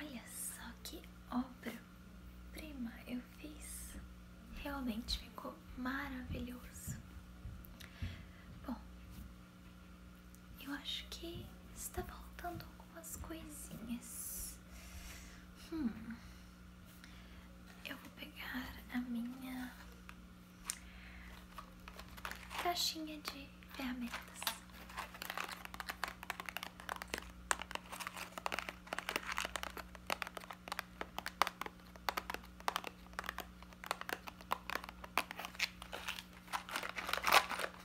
Olha só que obra prima eu fiz. Realmente ficou maravilhoso. Bom, eu acho que está faltando algumas coisinhas. Hum. Eu vou pegar a minha caixinha de ferramentas.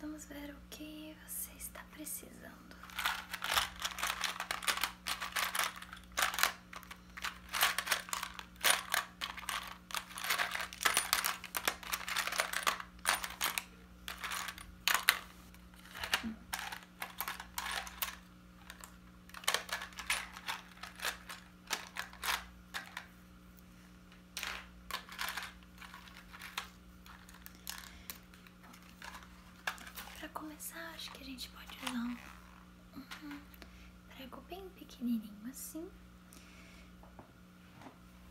Vamos ver o que você está precisando. Para começar, acho que a gente pode usar um prego bem pequenininho assim.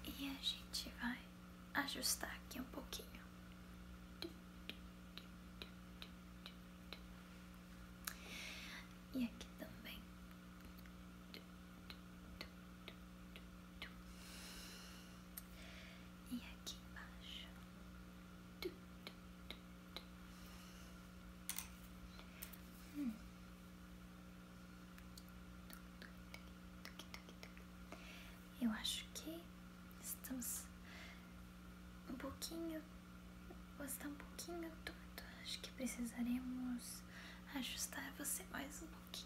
E a gente vai ajustar aqui um pouquinho. E aqui também. E aqui embaixo. Eu acho que estamos um pouquinho. Você um pouquinho torto. Acho que precisaremos ajustar você mais um pouquinho.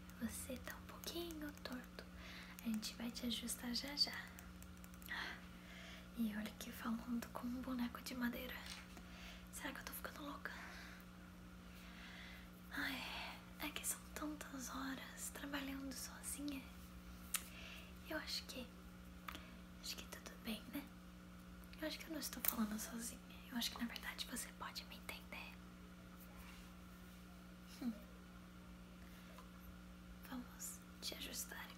Você tá um pouquinho torto. A gente vai te ajustar já já. E olha que falando como um boneco de madeira. Será que eu tô ficando louca? Ai, é que são tantas horas trabalhando sozinha. Eu acho que. Acho que tudo bem, né? Eu acho que eu não estou falando sozinha. Eu acho que na verdade você pode me entender. Hum. Vamos te ajustar então.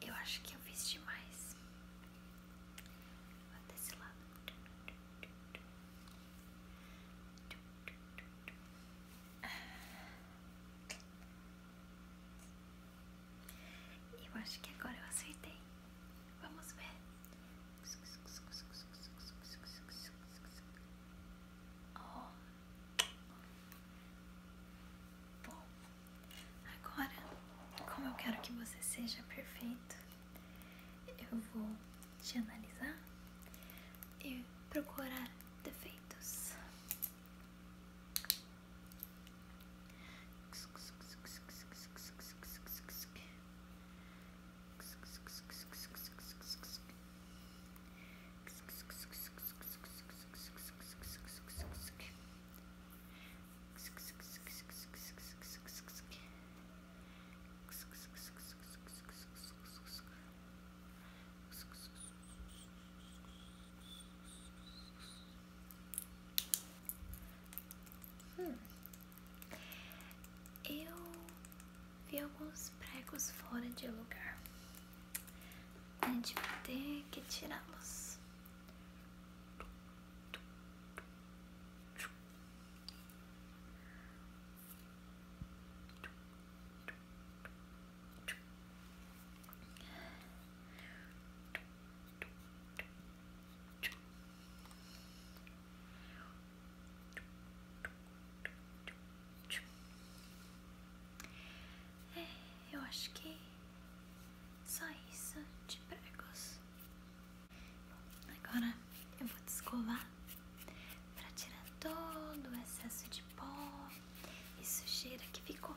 Eu acho que eu fiz demais. Vou desse lado. Eu acho que agora eu acertei. Vamos ver. Oh. Bom, Agora, como eu quero que você seja perfeito, eu vou te analisar e procurar defeitos. Hum. Eu vi alguns pregos fora de lugar. A gente vai ter que tirá-los. É, eu acho que só isso de pregos. agora eu vou descovar escovar para tirar todo o excesso de pó e sujeira que ficou.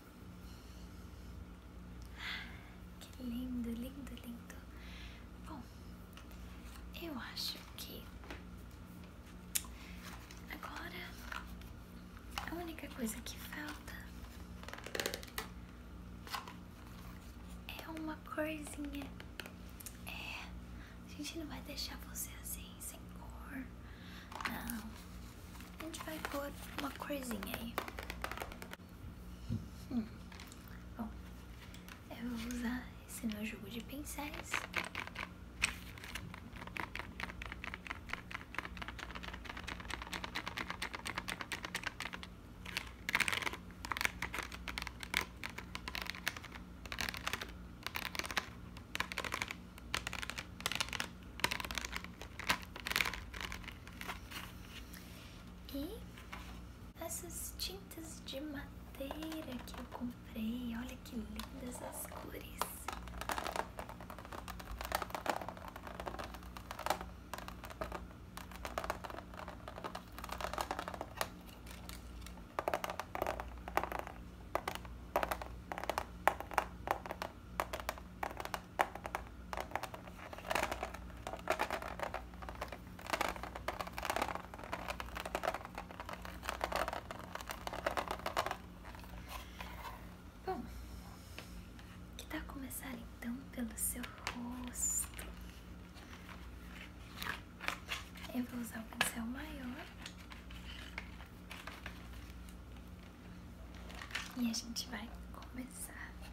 Que lindo, lindo, lindo. Bom, eu acho que agora a única coisa que falta é uma corzinha. É, a gente não vai deixar você assim, sem cor. Não. A gente vai pôr uma corzinha aí. Bom, hum. eu vou usar esse meu jogo de pincéis. E essas tintas de madeira que eu comprei, olha que lindas as cores. Bom, que tá começar então pelo seu rosto? Eu vou usar o pincel maior. E a gente vai começar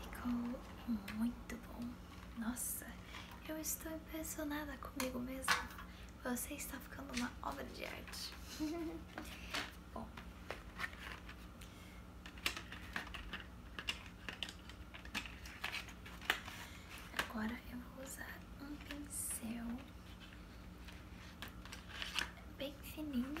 Ficou muito bom. Nossa, eu estou impressionada comigo mesmo. Você está ficando uma obra de arte. bom. Agora eu vou usar um pincel bem fininho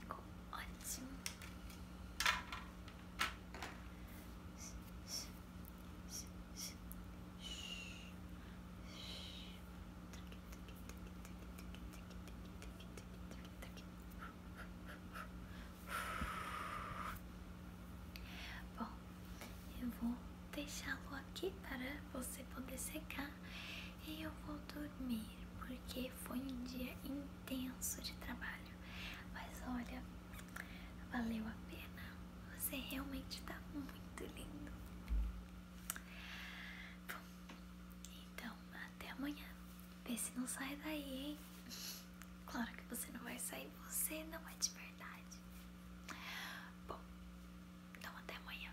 Ficou ótimo. Bom, eu vou deixá-lo aqui para você poder secar e eu vou dormir porque foi um dia intenso de trabalho. Mas olha, valeu a pena. Você realmente tá muito lindo. Bom, então até amanhã. Vê se não sai daí, hein? Claro que você não vai sair, você não é de verdade. Bom, então até amanhã.